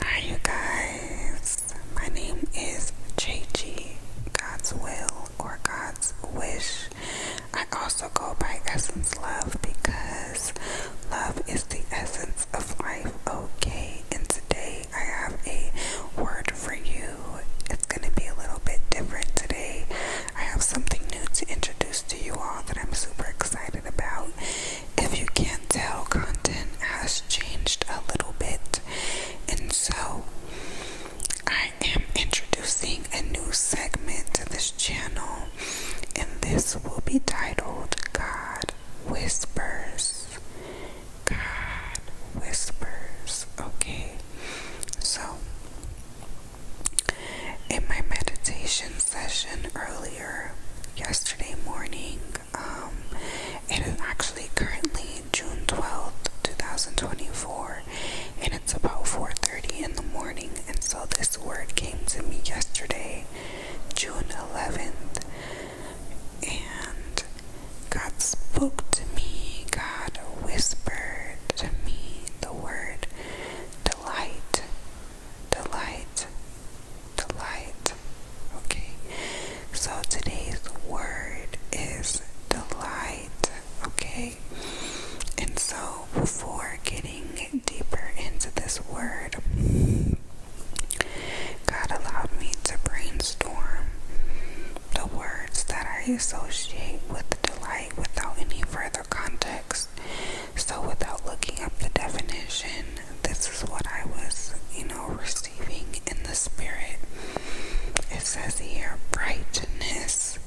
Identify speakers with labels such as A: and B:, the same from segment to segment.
A: Hi you guys, my name is Chechi, God's Will or God's Wish. I also go by Essence Love because love is the essence of life, okay? And today I have a word for you. It's going to be a little bit different today. I have something new to introduce to you all that I'm super excited about if you can't tell, content has changed a little bit, and so I am introducing a new segment to this channel, and this will be titled God Whispers. God Whispers, okay? So, in my meditation session earlier, yesterday morning. Um, it is actually currently June 12th, 2024, and it's about 4:30 in the morning. And so this word came to me yesterday, June 11th, and God spoke to me. God whispered to me the word delight the light, Okay, so today's word is delight. Okay, and so before getting deeper into this word, God allowed me to brainstorm the words that I associate with delight without any further context. So, without looking up the definition, this is what I was, you know, receiving in the spirit. It says here brightness,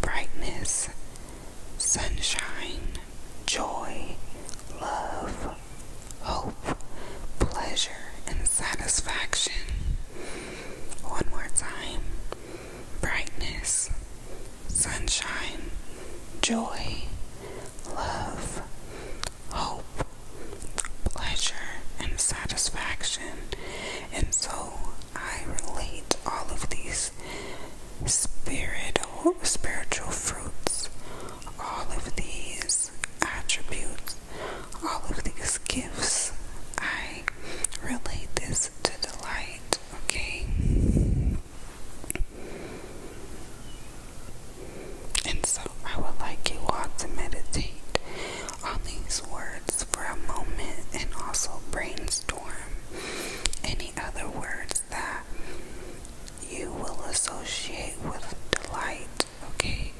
A: brightness, sunshine, joy, love, hope, pleasure, and satisfaction. One more time brightness, sunshine, joy, love, hope, pleasure, and satisfaction. And so I relate all of these spirit spiritual fruits, all of these attributes, all of these gifts. I relate this to delight, okay? And so I would like you all to meditate on these words for a moment and also brainstorm any other words that you will associate with delight. Okay,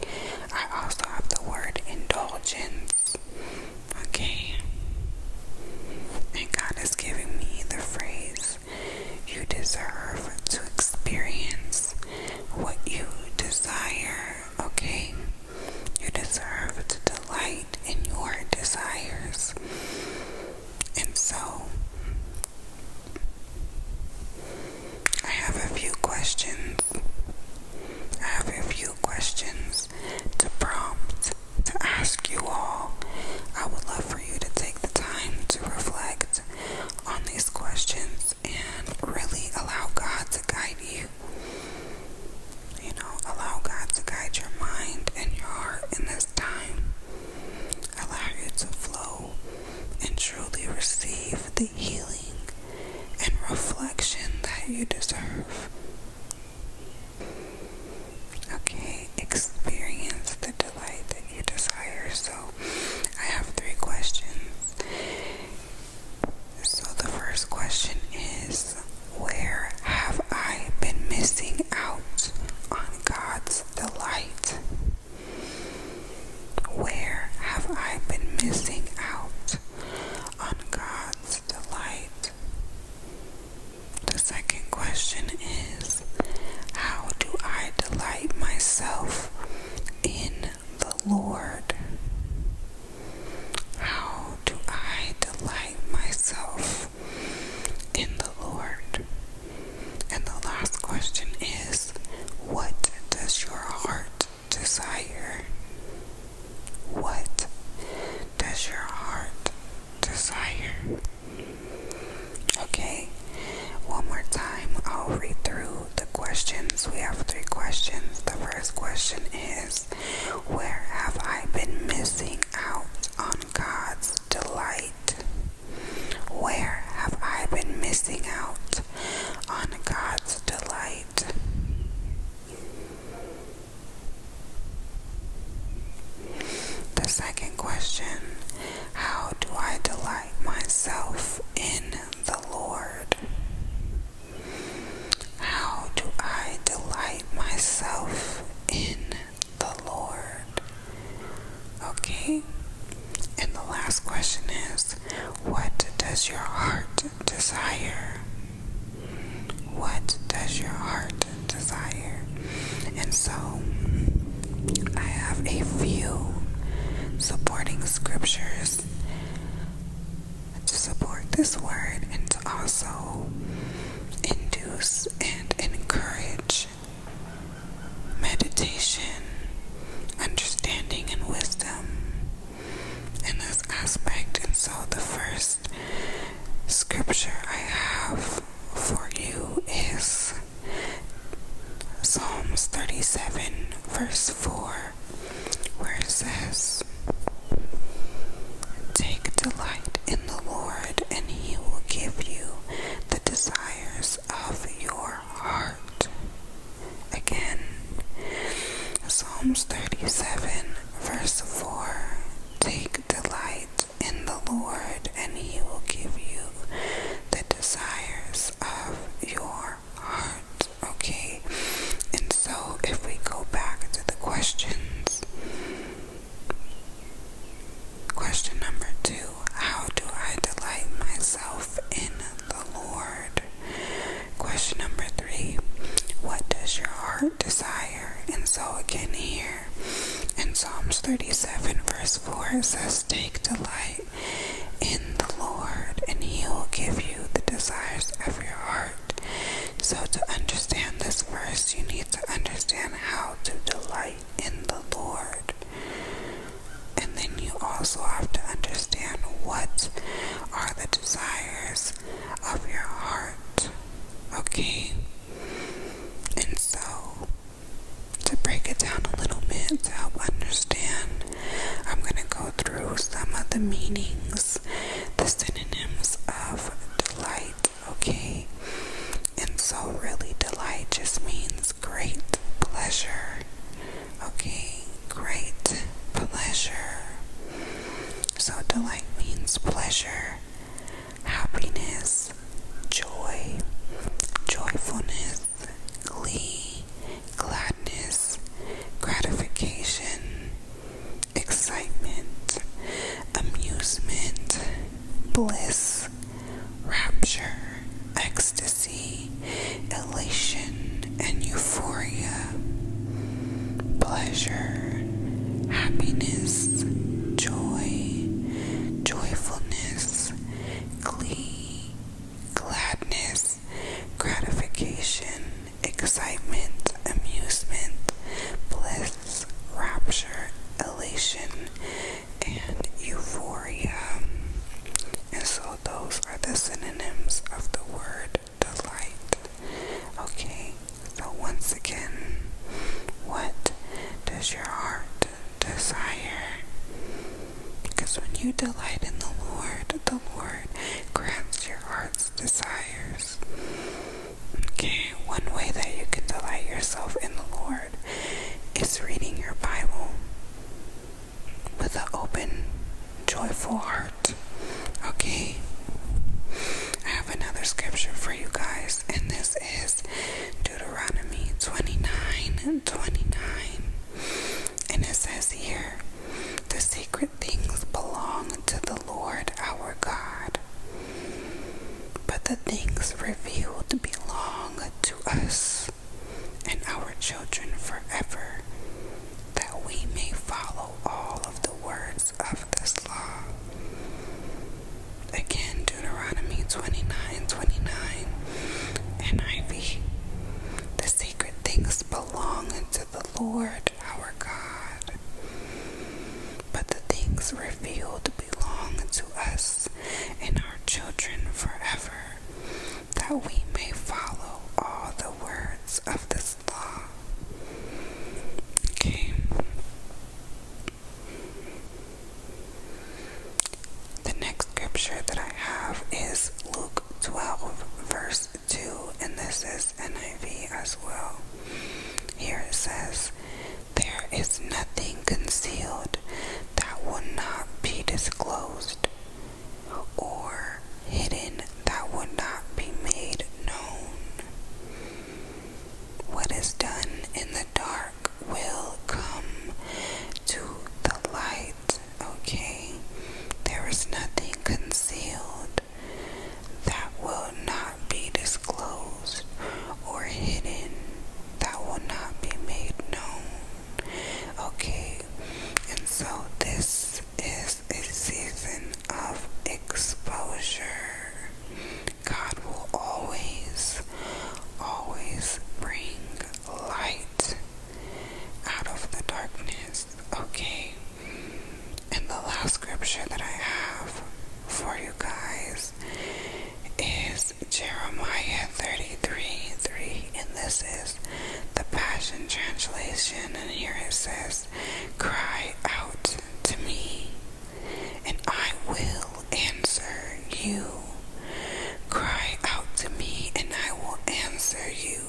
A: I also have the word indulgence. Okay, and God is giving me the phrase you deserve to experience what you desire, okay? You deserve to delight in your desires. And so, I have a few questions. I have a few questions to prompt to ask you all. I would love for you to take the time to reflect on these questions and really allow God to guide you. You know, allow God to guide your mind and your heart in this time. Allow you to flow and truly receive the healing and reflection that you deserve. Okay, experience the delight you desire. So, I have three questions. So, the first question is Where have I been missing out on God's delight? Where have I been missing out on God's delight? The second question is How do I delight myself in the Lord? How do I delight myself in the Lord? And the last question is What does your heart desire? What does your heart desire. Okay, one more time, I'll read through the questions. We have three questions. The first question is Where have I been missing out on God's delight? Where have I been missing out on God's delight? The second question how do I delight myself in the Lord? How do I delight myself in the Lord? Okay, and the last question is What does your heart desire? What does your heart desire. And so I have a few supporting scriptures to support this word and to also induce and encourage meditation, understanding, and wisdom in this aspect. And so the first scripture I have for you is Psalms 37, verse 4, where it says, Take delight in the Lord, and he will give you the desires of your heart. Again, Psalms 37, verse 4, Take delight in the Lord, and He will give you the desires of your heart. Okay? And so, if we go back to the questions, question number two How do I delight myself in the Lord? Question number three What does your heart desire? And so, again, here prayer. And Psalms 37, verse 4 says, Take delight in the Lord, and He will give you the desires of your heart. So, to understand this verse, you need to understand how to delight in the Lord. And then you also have to understand what are the desires of your heart. Okay? And so, to break it down a little bit to help understand, I'm going to go through some of the meanings, the synonyms of delight, okay? And so, really, delight just means great pleasure, okay? Great pleasure. So, delight means pleasure, happiness, joy, joyfulness, glee, gladness, gratification, excitement, amusement, bliss, rapture, ecstasy, elation, and euphoria, pleasure, happiness, joy, joyfulness, glee, gladness, gratification, excitement, amusement, bliss, rapture, elation, and euphoria. And so those are the synonyms of the word delight. Okay, so, once again, what does your heart desire? Because when you delight in the Lord, the Lord grants your heart's desires. Okay, one way that you can delight yourself in the Lord is reading your Bible with an open, joyful heart. Okay? I have another scripture for you guys, and this is Deuteronomy 29 29. And it says here, the sacred things belong to the Lord our God, but the things revealed belong to us and our children forever, that we may follow all of the words of this law. Again, Deuteronomy twenty nine, twenty nine, and NIV. The sacred things belong to the Lord our God, but the things revealed belong to us and our children forever, that we may follow all the words of this law. Okay. The next scripture that I have is Luke 12, verse 2, and this is NIV as well. Here it says, There is nothing concealed that will not be disclosed, or hidden that will not be made known. What is done in the dark will come to the light, okay? There is nothing concealed that will not be disclosed or hidden, that will not be made known, okay? And so this is a season of exposure. God will always, always bring light out of the darkness. Okay. And the last scripture that I have for you guys is Jeremiah 33 3. And this is the Passion Translation. And here it says, Cry out to me, and I will answer you. Cry out to me, and I will answer you.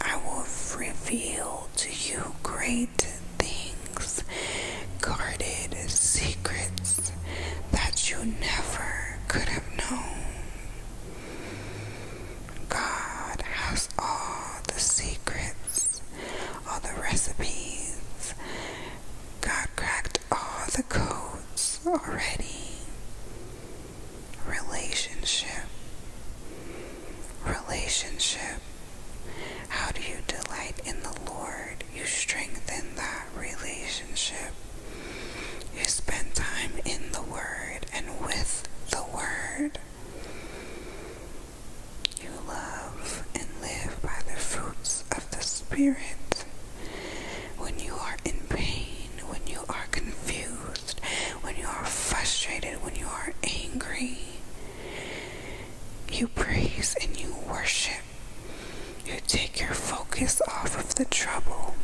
A: I will reveal to you great things, guarded secrets that you never could have known. God has all the secrets all the recipes. God cracked all the codes already. Relationship. Relationship. How do you delight in the Lord? You strengthen that relationship. You spend time in the Word and with the Word. You love and live by the fruits of the Spirit. When you are in pain, when you are confused, when you are frustrated, when you are angry, you praise and you worship. You take your focus off of the trouble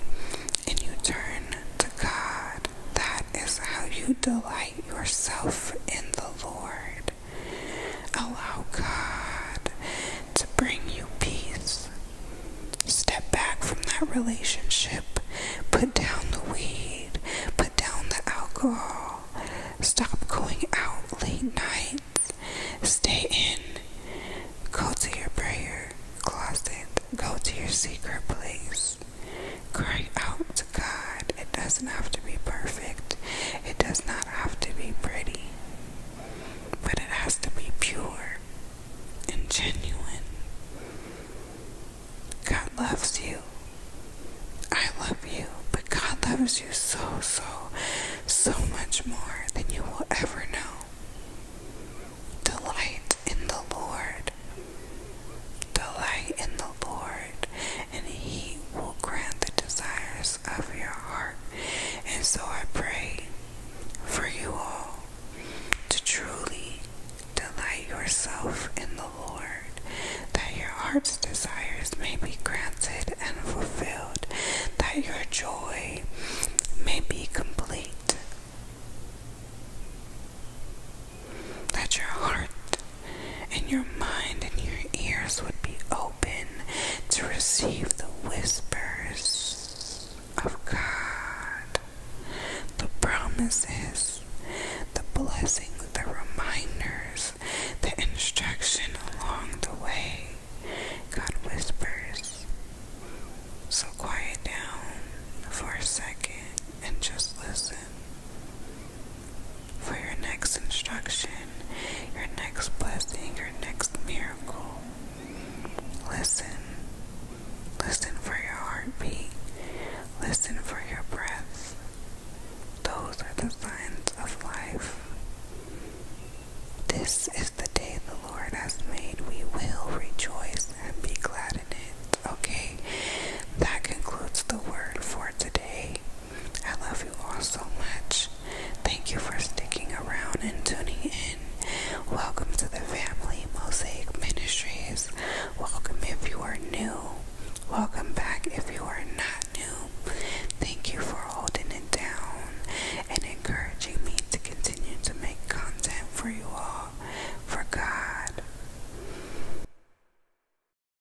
A: and you turn to God. That is how you delight yourself in the Lord. Allow God to bring you peace. Step back from that relationship. Put down the weed. Put down the alcohol. Stop going out late nights. Stay in. Go to your prayer closet. Go to your secret place. Cry out God. It doesn't have to be perfect, it does not have to be pretty, but it has to be pure and genuine. God loves you. I love you, but God loves you so, so, so much more than you will ever know. Delight in the Lord. Delight in Lord, and He will grant the desires of your heart. And so I pray for you all to truly delight yourself in the Lord, that your heart's desires may be granted and fulfilled, that your joy may be complete. That your heart and your mind and your ears would be open to receive the whispers of God, the promises, the blessings, the reminders, the instruction along the way. God whispers. So quiet down for a second and just listen for your next instruction, your next blessing, your next miracle. Listen. Listen for your heartbeat. Listen for your breath. Those are the signs of life. This is the day the Lord has made. We will rejoice and be glad in it. Okay, that concludes the word for today. I love you all so much. Thank you for sticking around and tuning in. Welcome to the family, Mosaic Ministries. Welcome if you are new. Welcome back if you are not new. Thank you for holding it down and encouraging me to continue to make content for you all, for God.